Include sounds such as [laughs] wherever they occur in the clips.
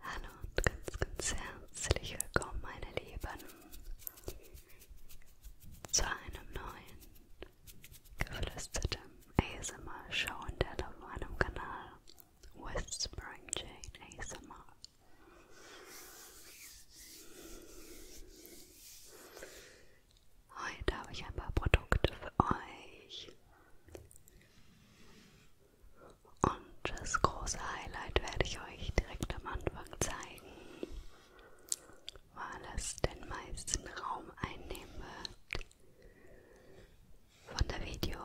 Hallo und ganz, ganz herzlich willkommen, meine Lieben, zu einem neuen geflüsterten ASMR-Show und der auf meinem Kanal Whispering Jane ASMR. Heute habe ich ein paar Produkte für euch. Und das große Highlight werde ich euch direkt am Anfang zeigen, weil es den meisten Raum einnehmen wird von der Videodrehzeit.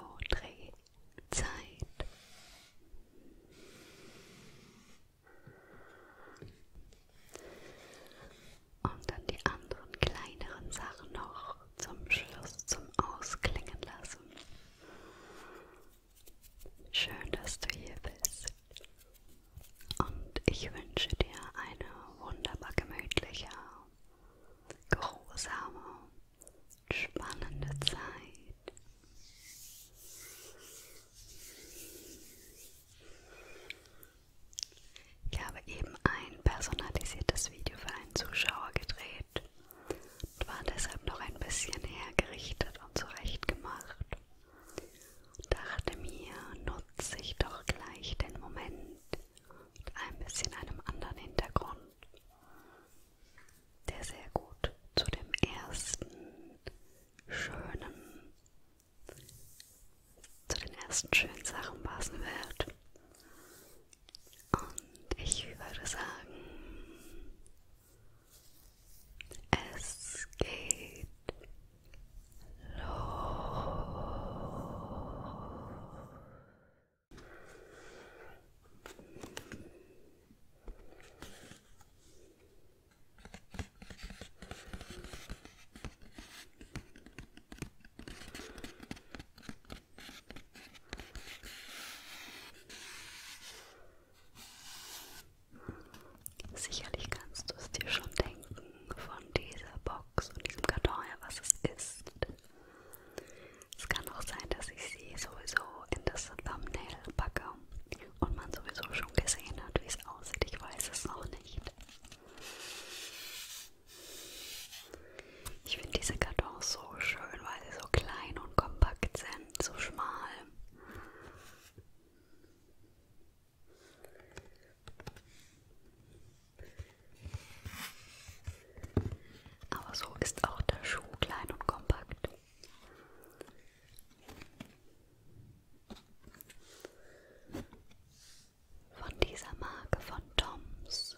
Und dann die anderen kleineren Sachen noch zum Schluss zum Ausklingen lassen. Schön, dass du hier bist. Und ich wünsche dir eine wunderbar gemütliche, geruhsame, spannende Zeit. Ich habe eben ein personalisiertes Video für einen Zuschauer gedreht und war deshalb noch ein bisschen hergerichtet und zurechtgemacht. Und dachte mir, nutze ich doch gleich den Moment mit ein bisschen einem anderen Hintergrund, der sehr gut zu dem ersten schönen, zu den ersten schönen Sachen passen wird. Und ich würde sagen, es geht los. Sicherlich kannst du es dir schon denken von dieser Box und diesem Karton her, was es ist. Es kann auch sein, dass ich sie sowieso in das Thumbnail packe und man sowieso schon gesehen hat, wie es aussieht. Ich weiß es noch nicht. Ich finde diese Kartons so schön, weil sie so klein und kompakt sind, so schmal. Aber so ist auch der Schuh klein und kompakt. Von dieser Marke von Toms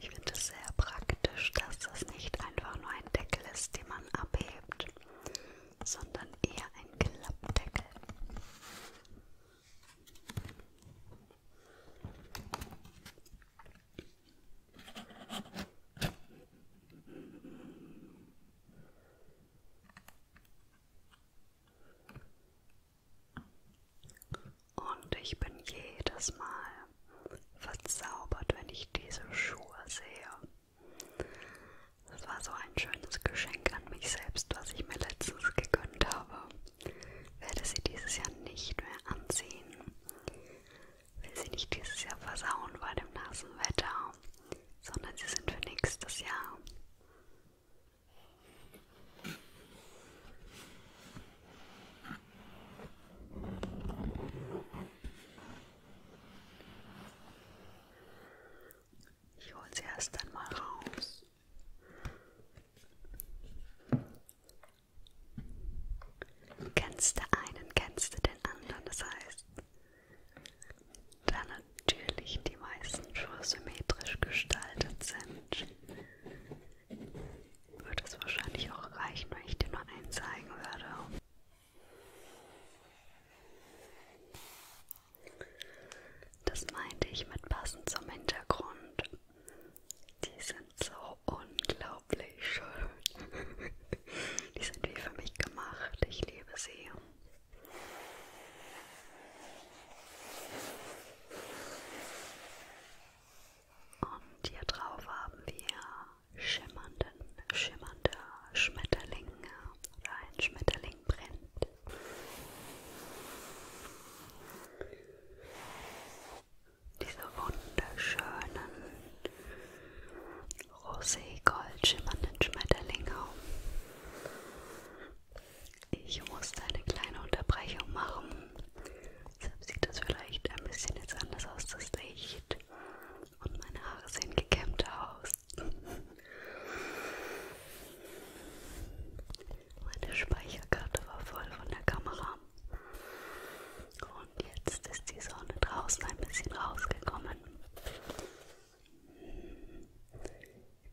Ich finde es sehr praktisch, dass das nicht einfach nur ein Deckel ist, den man abhebt, sondern eher ein Klappdeckel. Und ich bin jedes Mal verzaubert, wenn ich diese Schuhe sehe. Das war so ein schönes Geschenk an mich selbst, was ich mir letztens gegönnt habe. Werde sie dieses Jahr nicht mehr anziehen. Will sie nicht dieses Jahr versauen bei dem nassen Wetter, sondern sie sind für nächstes Jahr. Ich hole sie erst einmal raus. Kennst du einen, kennst du den anderen. Das heißt, da natürlich die meisten schon symmetrisch gestaltet sind, würde es wahrscheinlich auch reichen, wenn ich dir nur einen zeigen würde. Das meinte ich mit passend zum Hintergrund. Die sind so unglaublich schön. Die sind wie für mich gemacht. Ich liebe sie. Und hier drauf haben wir schimmernden, schimmernder Schmetterling oder ein Schmetterling brennt. Diese wunderschönen rosé-gold schimmernden Schmetterlinge. Ich musste eine kleine Unterbrechung machen. Deshalb sieht das vielleicht ein bisschen jetzt anders aus, das Licht. Und meine Haare sehen gekämmt aus. Meine Speicherkarte war voll von der Kamera. Und jetzt ist die Sonne draußen ein bisschen rausgekommen.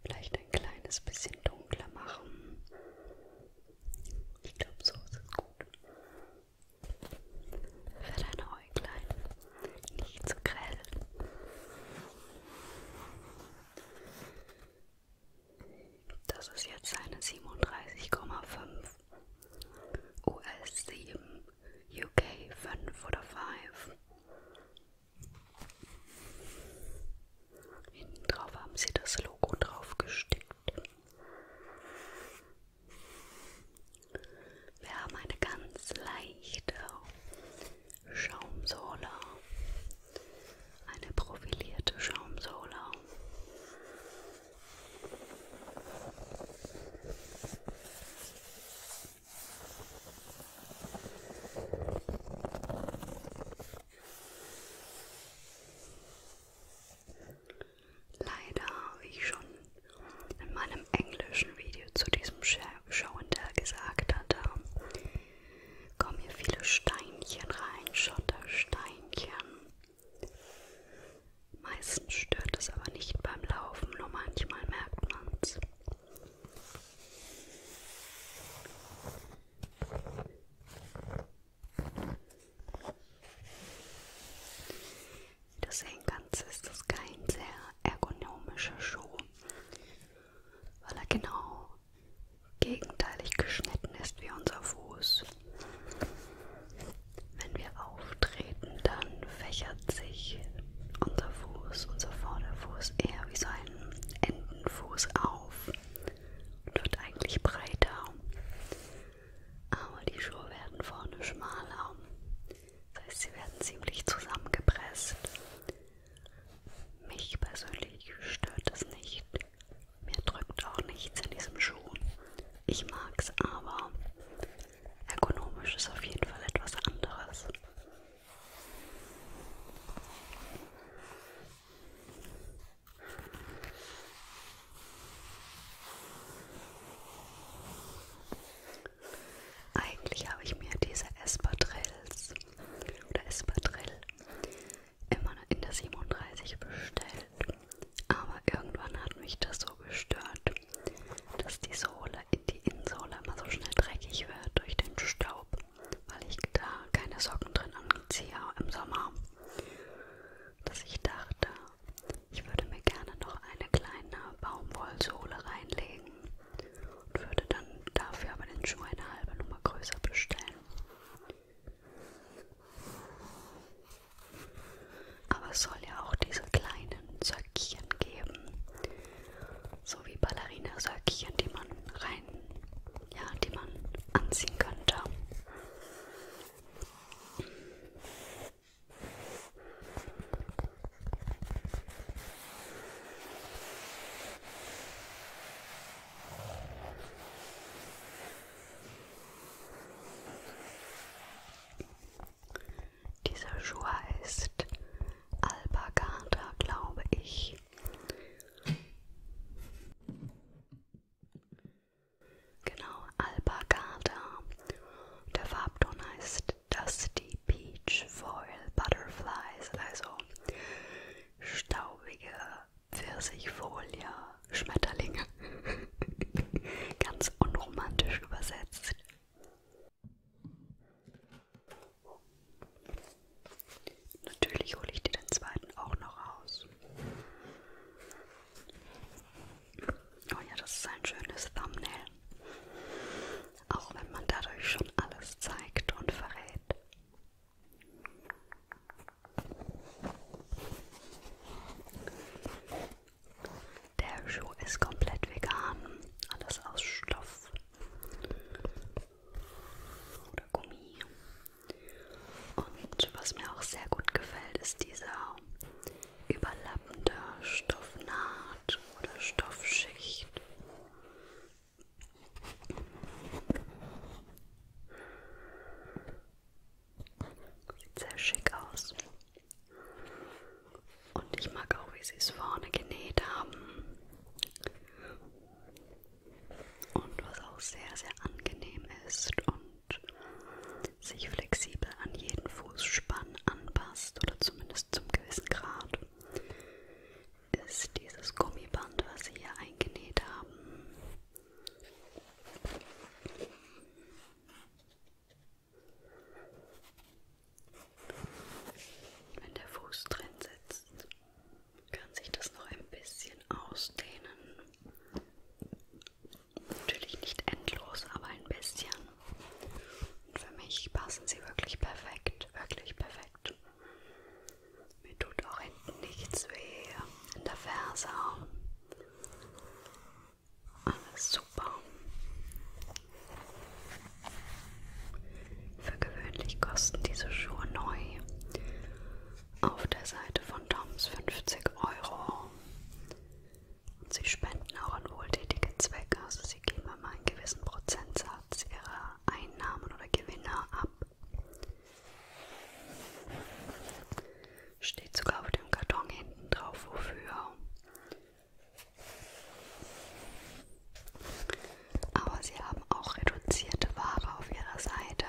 Vielleicht ein kleines bisschen dunkler machen. Ich glaube, so ist es gut. Für deine Äuglein. Nicht zu so grell. Das ist jetzt eine 37,5 US 7 UK 5 oder 5. Hinten drauf haben sie das Logo drauf gestickt. Wir haben eine ganz leichte Schaumsohle, eine profilierte Schaumsohle. Leider habe ich schon in meinem englischen Video zu diesem Schauender gesagt hatte, kommen hier viele Steinchen rein, Schottersteinchen. Meistens stört es aber nicht beim Laufen, nur manchmal merkt man es. Wie du sehen kannst, ist das kein sehr ergonomischer Schuh, weil er genau gegenteilig geschnitten ist wie unser Fuß. Wenn wir auftreten, dann fächert sich unser Fuß, unser Vorderfuß eher wie so ein Entenfuß auf und wird eigentlich breiter. Aber die Schuhe werden vorne schmaler. Das heißt, sie werden ziemlich zusammengepresst. Mich persönlich stört das nicht. Mir drückt auch nichts in diesem Schuh. Ich mag's aber. Ergonomisch ist auf jeden Fall etwas anderes. Eigentlich habe ich mir diese Espadrilles oder Espadrille immer in der 37 bestellt, aber irgendwann hat mich das so gestört, dass die Sohle, die Innensohle immer so schnell dreckig wird durch den Staub weil ich da keine Socken drin anziehe im Sommer, dass ich dachte, ich würde mir gerne noch eine kleine Baumwollsohle reinlegen und würde dann dafür aber den Schuh eine halbe Nummer größer bestellen. Aber es soll ja auch diese kleinen Söckchen geben, so wie Ballerina-Söckchen, die man rein ja, die man anziehen könnte. Dieser Schuh heißt Alpagata, glaube ich. Genau, Alpagada. Der Farbton heißt Dusty Peach Foil Butterflies, also staubige Pfirsichfolie, Schmetterlinge. [laughs] Ganz unromantisch übersetzt. Natürlich hole ich dir den zweiten auch noch raus. Oh ja, das ist ein schönes Thumbnail. Auch wenn man dadurch schon alles zeigt und verrät. Der Schuh ist komplett vegan, alles aus Stoff oder Gummi. Und was mir auch sehr gut gefällt, ist dieser überlappende Stoffnaht oder Stoffschicht. Sieht sehr schick aus. Und ich mag auch, wie sie es vorne genäht haben und was auch sehr, sehr angenehm ist und sich flexibel an jeden Fußspann anpasst oder zumindest zum gewissen Grad, ist dieses Gummiband, was sie hier eingenäht haben. Wenn der Fuß drin sitzt, kann sich das noch ein bisschen ausdehnen. Natürlich nicht endlos, aber ein bisschen. Und für mich passen sie wirklich perfekt, wirklich perfekt. Mir tut auch hinten nichts weh, in der Ferse. Alles super. Für gewöhnlich kosten diese Schuhe neu auf der Seite von Toms 50 Euro. Und sie spenden auch an wohltätige Zwecke, also sie geben immer einen gewissen Prozentsatz ihrer Einnahmen oder Gewinne ab. Steht sogar auf dem Karton hinten drauf, wofür. Aber sie haben auch reduzierte Ware auf ihrer Seite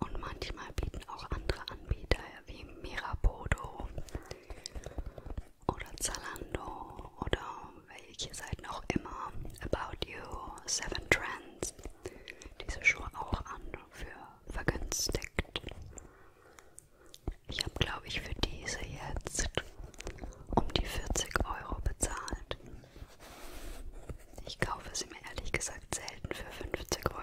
und manchmal bieten auch andere Anbieter wie Mirabodo oder Zalando oder welche Seiten auch immer, About You, Seven Trends, diese Schuhe auch an für vergünstigt. Ich habe, glaube ich, für diese jetzt um die 40 Euro bezahlt. Ich kaufe sie mir ehrlich gesagt selten für 50 Euro.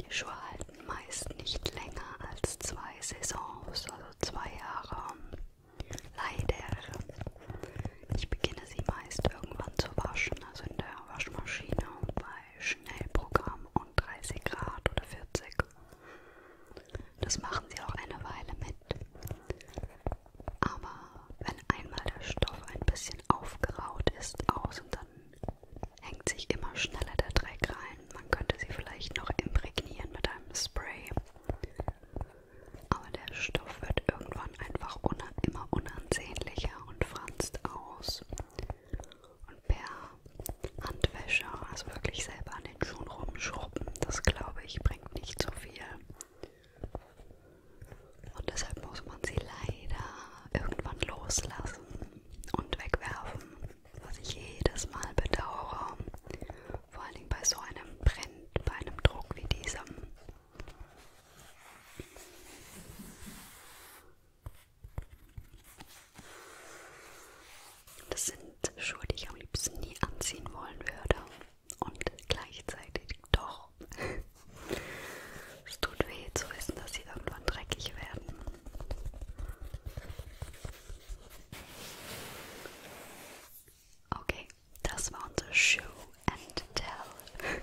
Die Schuhe halten meist nicht länger als zwei Saisons, also zwei Jahre. Leider. Ich beginne sie meist irgendwann zu waschen, also in der Waschmaschine bei Schnellprogramm und 30 Grad oder 40. Das machen sie auch eine Weile mit. Aber wenn einmal der Stoff ein bisschen aufgeraut ist, außen, dann hängt sich immer schneller der Dreck rein. Man könnte sie vielleicht noch imprägnieren mit einem Spray. Aber der Stoff wird irgendwann einfach un immer unansehnlicher und franzt aus. Und per Handwäsche, also wirklich selber an den Schuhen rumschrubben, das glaube ich, bringt nicht so viel. Und deshalb muss man sie leider irgendwann loslassen und wegwerfen, was ich jedes Mal bedauere. Vor allen Dingen bei so einem Brand, bei einem Druck wie diesem. Das sind Schuhe, die ich am liebsten nie anziehen wollen würde und gleichzeitig doch. es tut weh zu wissen, dass sie irgendwann dreckig werden. Okay, das war unser Show and Tell.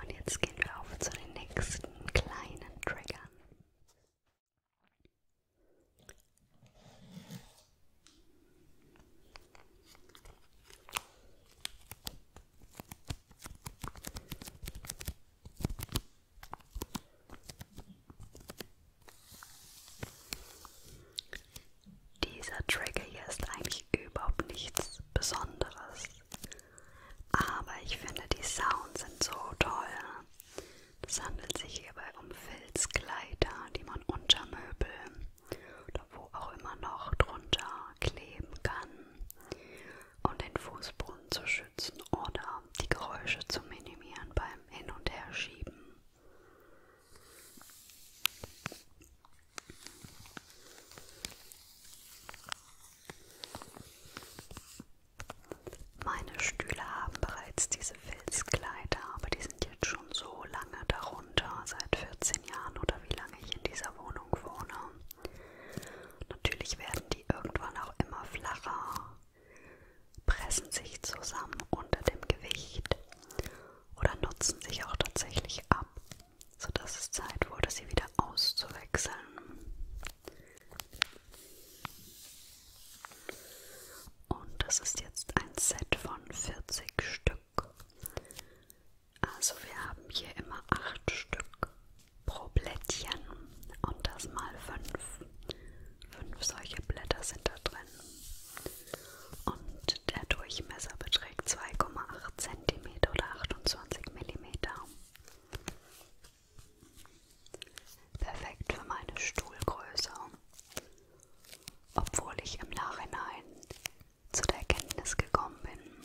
Und jetzt gehen wir auf zu den nächsten kleinen Triggern. Dieser Trigger hier ist eigentlich überhaupt nichts Besonderes, aber ich finde die Sounds sind so toll. Es handelt sich hierbei um Filzkleider, die man unter Möbel oder wo auch immer noch drunter kleben kann, um den Fußboden zu schützen oder die Geräusche zu minimieren beim Hin- und Herschieben. Meine Stühle haben bereits diese Filzkleider, aber die sind jetzt schon so lange darunter, seit 14 Jahren oder wie lange ich in dieser Wohnung Wohnung wohne. Natürlich werden die irgendwann auch immer flacher, pressen sich zusammen unter dem Gewicht oder nutzen sich auch tatsächlich ab, sodass es Zeit wurde, sie wieder auszuwechseln. Und das ist jetzt ein Set von 40 Stück. Stück. Also wir haben hier immer 8 Stück pro Blättchen und das mal 5. 5 solche Blätter sind da drin. Und der Durchmesser beträgt 2,8 cm oder 28 mm. Perfekt für meine Stuhlgröße. Obwohl ich im Nachhinein zu der Erkenntnis gekommen bin,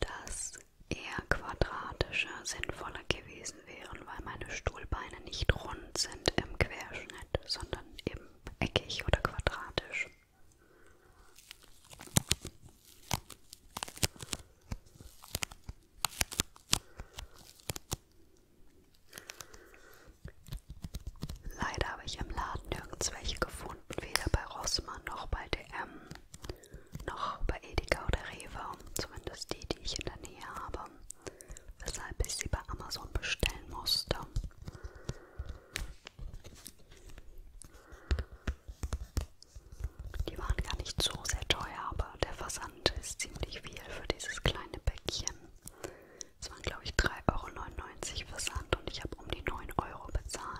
dass eher quadratische sinnvoller gewesen wären, weil meine Stuhlbeine nicht rund sind im Querschnitt, sondern eben eckig oder quadratisch. Leider habe ich im Laden nirgends welche gefunden gefunden, weder bei Rossmann noch bei DM, noch bei Edeka oder Rewe, zumindest die, die ich in der Nähe habe, weshalb ich sie bei Amazon bestellen musste. Die waren gar nicht so sehr teuer, aber der Versand ist ziemlich viel für dieses kleine Päckchen. Es waren, glaube ich, 3,99 Euro Versand und ich habe um die 9 Euro bezahlt.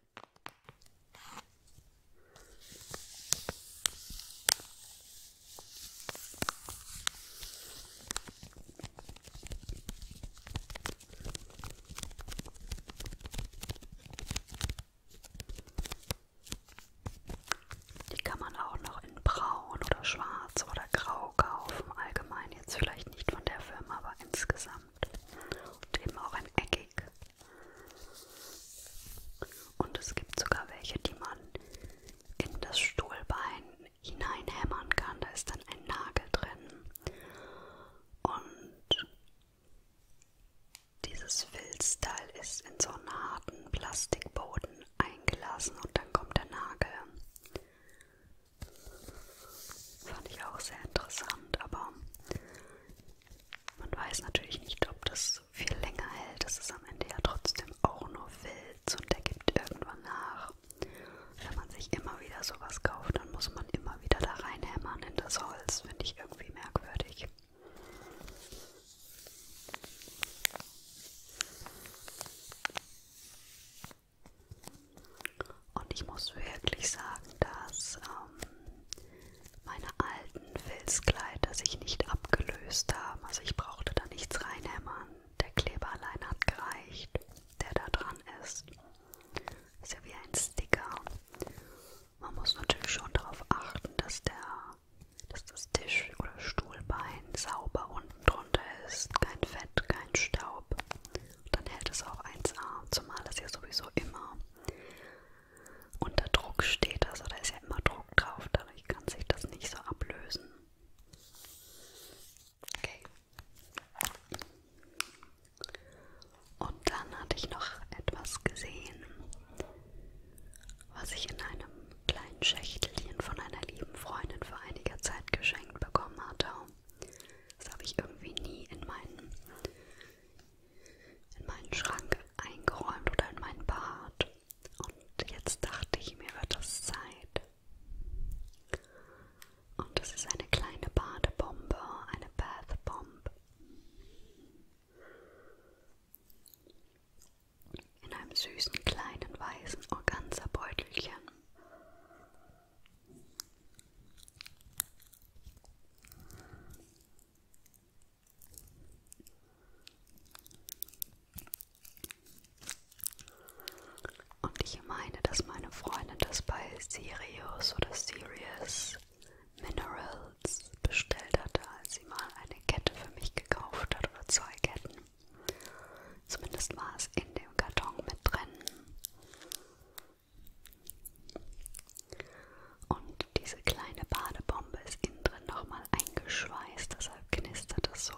Die kann man auch noch in braun oder schwarz oder grau kaufen. Allgemein jetzt vielleicht nicht von der Firma, aber insgesamt. Und eben auch in eckig. Und es gibt sogar welche, die man in das Stuhlbein hineinhämmern kann. Da ist dann ein Nagel drin. Und dieses Filzteil ist in so einen harten Plastikboden eingelassen und dann kommt der Nagel. Fand ich auch sehr interessant, aber man weiß natürlich nicht, ob das viel länger hält. Das ist am Ende ja trotzdem auch nur Filz und der gibt irgendwann nach. Wenn man sich immer wieder sowas kauft, dann muss man immer wieder da reinhämmern in das Holz. Finde ich irgendwie merkwürdig. Und ich muss wirklich sagen, dass ähm, meine alten Filzkleider sich nicht abgelöst haben. Also ich brauchte da nichts reinhämmern. Der Kleber allein hat gereicht, der da dran ist. Ist ja wie ein Sticker. Man muss natürlich schon darauf achten, dass der dass das Tisch- oder Stuhlbein sauber unten drunter ist. Kein Fett, kein Staub. Und dann hält es auch 1A, zumal es ja sowieso immer unter Druck steht. Also da ist ja immer Druck drauf, dadurch kann sich das nicht so ablösen. Okay. Und dann hatte ich noch etwas gesehen, was ich in einem kleinen Schächtelchen von einer lieben Freundin vor einiger Zeit geschenkt bekommen hatte. Das habe ich irgendwie nie in meinen in meinen Schrank eingeräumt oder in mein Bad. Und jetzt dachte ich, mir wird es Zeit. Und das ist eine kleine Badebombe, eine Bath Bomb. In einem süßen kleinen weißen Organza-Beutelchen. Und ich meine, dass meine Freundin das bei Sirius oder Sirius Minerals bestellt hatte, als sie mal eine Kette für mich gekauft hat oder zwei Ketten. Zumindest war es in dem Karton mit drin. Und diese kleine Badebombe ist innen drin nochmal eingeschweißt, deshalb knistert es so.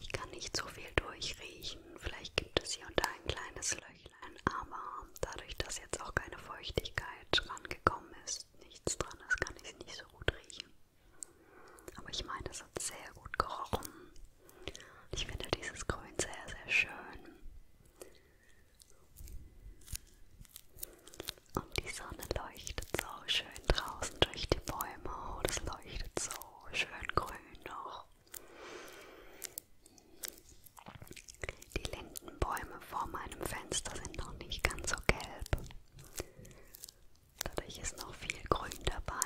Ich kann nicht so viel durchriechen. Vielleicht gibt es hier und da ein kleines Löchlein, aber dadurch, dass jetzt auch keine Feuchtigkeit rangekommen ist, nichts dran ist, kann ich es nicht so gut riechen. Aber ich meine, es hat sehr gut gerochen. Ich finde dieses Grün sehr, sehr schön. Und die Sonne leuchtet so schön draußen durch die Bäume. Oh, das leuchtet so schön grün noch. Die Lindenbäume vor meinem Fenster sind noch nicht ganz so gelb. Dadurch ist noch viel Grün dabei.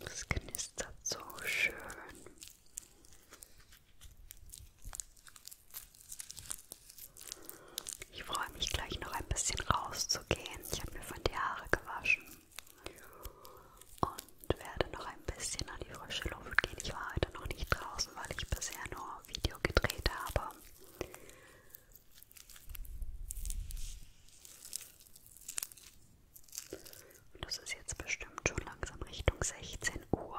Das knistert so schön. Ich freue mich gleich noch ein bisschen rauszugehen. Ich habe mir von die Haare gewaschen und werde noch ein bisschen an die frische Luft gehen. Ich war heute noch nicht draußen, weil ich bisher nur Video gedreht habe. Und das ist jetzt bestimmt schon langsam Richtung 16 Uhr.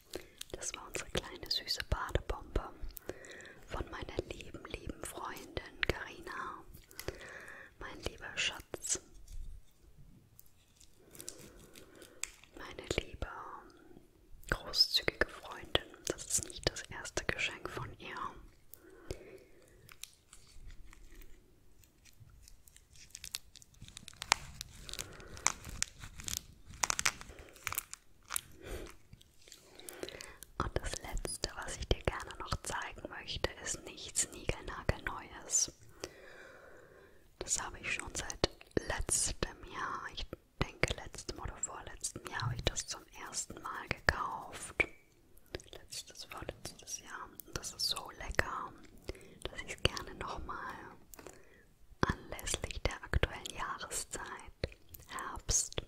Das war unsere kleine süße Badebombe von meiner lieben, lieben Freundin Karina. Mein lieber Schatz. Meine liebe großzügige Freundin, das ist nicht das erste Geschenk von ihr. Und das letzte, was ich dir gerne noch zeigen möchte, ist nichts Niegelnagelneues. Das habe ich schon seit letztem Jahr, ich denke letztem oder vorletztem Jahr habe ich das zum ersten Mal gekauft. Letztes, vorletztes Jahr. Und das ist so lecker, dass ich es gerne nochmal anlässlich der aktuellen Jahreszeit, Herbst,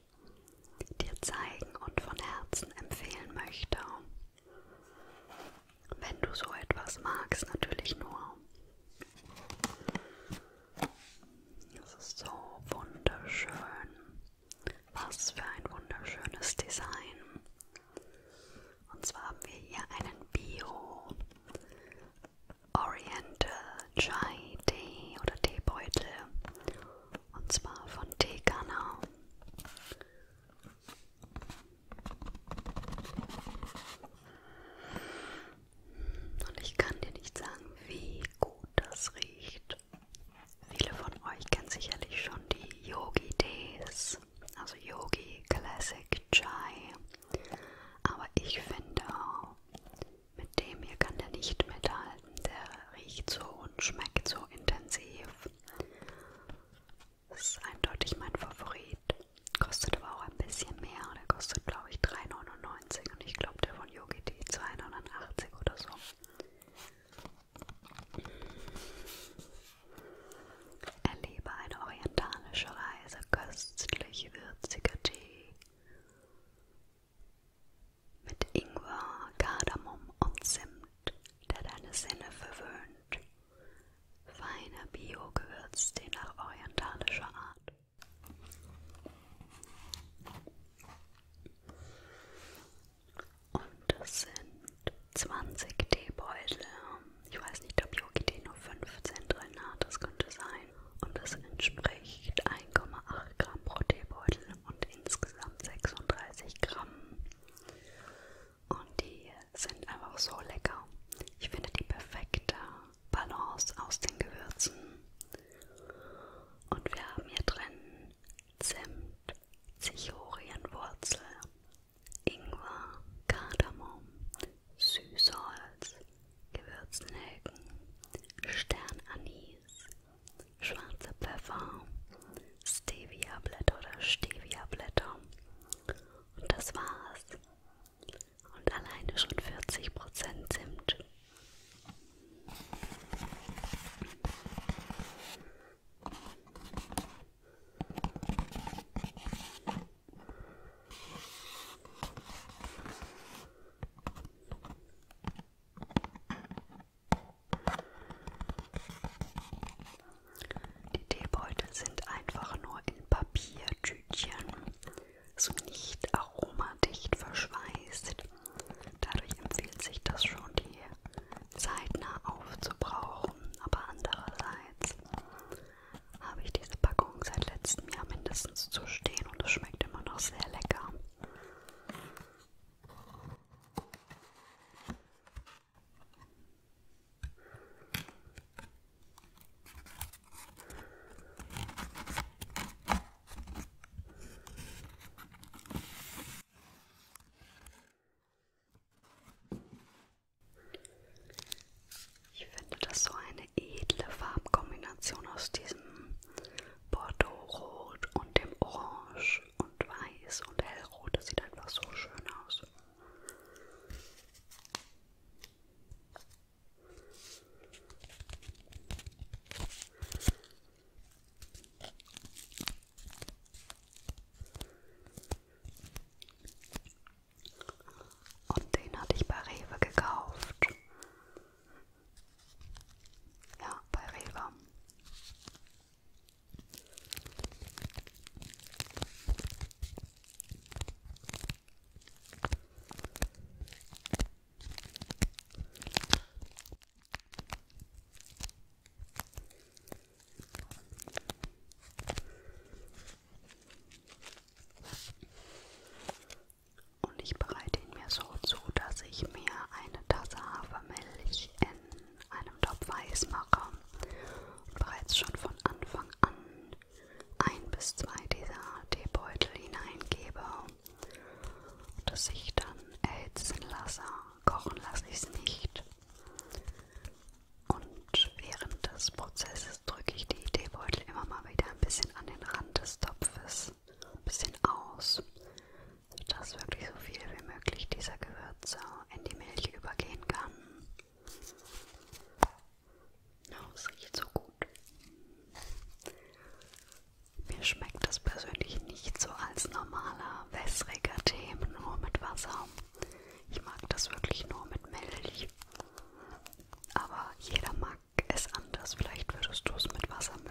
dir zeigen und von Herzen empfehlen möchte. Wenn du so etwas magst, natürlich nur. Es ist so wunderschön. Was für ein wunderschönes Design. Und zwar haben wir hier einen Bio Oriental Chai Tee oder Teebeutel und zwar von Teekanau. Und ich kann dir nicht sagen, wie gut das riecht. Viele von euch kennen sicherlich schon die Yogi Tees, also Yogi Classic Chai. Aber ich finde, mit dem hier kann der nicht mithalten. Der riecht so und schmeckt so intensiv. Das ist eindeutig mein Favorit. Kostet aber auch ein bisschen mehr. Der kostet, glaube ich, 3,99 und ich glaube, der von Yogi die 2,89 oder so. Erlebe eine orientalische Reise, köstlich würziger Tee mit Ingwer, Kardamom und Zimt, der deine Sinne verwöhnt. Feiner Bio-Gewürztee nach orientalischer Art. Und das sind 20 Teebeutel ich weiß nicht, ob Yogi nur 15 drin hat, das könnte sein. Und das entspricht 1,8 Gramm pro Teebeutel und insgesamt 36 Gramm. Und die sind einfach so lecker. Ich finde die perfekte Balance aus den Gewürzen. Und wir haben hier drin Zimt, Zichorienwurzel, Ingwer, Kardamom, Süßholz, Gewürznelken, Sternanis, schwarzer Pfeffer, Stevia-Blätter oder Stevia-Blätter. Und das war's. Und alleine schon 40% Zimt. Die Teebeutel sind einfach nur in Papiertütchen, so nicht aromadicht verschweißt. Dadurch empfiehlt sich das schon, die zeitnah aufzubrauchen, aber andererseits habe ich diese Packung seit letztem Jahr mindestens zu stehen und es schmeckt immer noch sehr lecker. Ich finde das so eine edle Farbkombination aus diesem Bordeaux-Rot und dem Orange und Weiß und Hellrot. Das sieht einfach so schön aus. Und den hatte ich bei Rewe gekauft. Ja, bei Rewe. Und ich bereite ihn mir so zu, dass ich mir eine Tasse Hafermilch in einem Topf heiß mache und bereits schon von Anfang an ein bis zwei dieser Teebeutel hineingebe und das ich dann erhitzen lasse. Kochen lasse ich es nicht. Und während des Prozesses drücke ich die Teebeutel immer mal wieder ein bisschen an den Rand des Topfes, ein bisschen aus, sodass wirklich so viel wie möglich dieser Gewürze in die Milch übergehen kann. Oh, es riecht so gut. Mir schmeckt das persönlich nicht so als normaler, wässriger Tee nur mit Wasser. Ich mag das wirklich nur mit Milch. Aber jeder mag es anders. Vielleicht würdest du es mit Wasser mögen.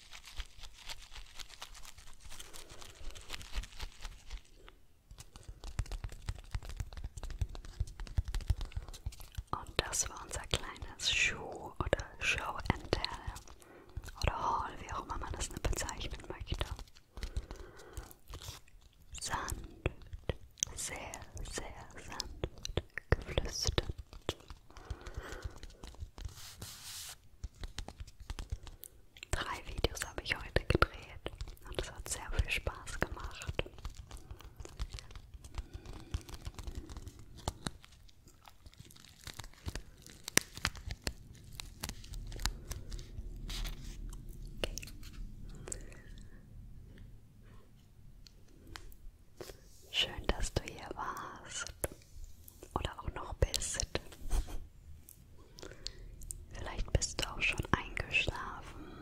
Und das war unser kleines Schuh- oder Show and Tell oder Haul, wie auch immer man das bezeichnen möchte. Sanft, sehr, sehr sanft geflüstert. Drei Videos habe ich heute gedreht und es hat sehr viel Spaß gemacht. Okay. Schön, dass du hier warst oder auch noch bist. Vielleicht bist du auch schon eingeschlafen.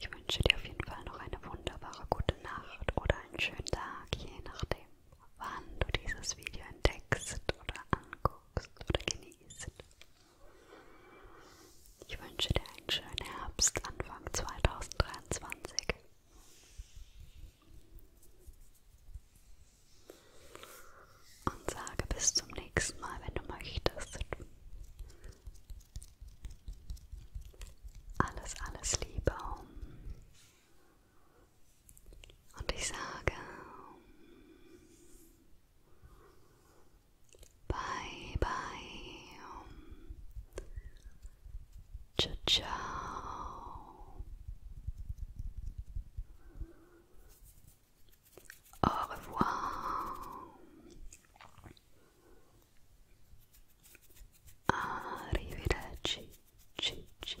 Ich wünsche dir auf jeden Fall noch eine wunderbare gute Nacht oder einen schönen Tag, je nachdem, wann du dieses Video entdeckst oder anguckst oder genießt. Ich wünsche dir einen schönen Herbst, Anfang 2023. Und sage bis zum nächsten Mal, wenn du möchtest. Alles, alles Liebe. Und ich sage bye, bye. Ciao ciao. Au revoir. Arrivederci. Ci, ci.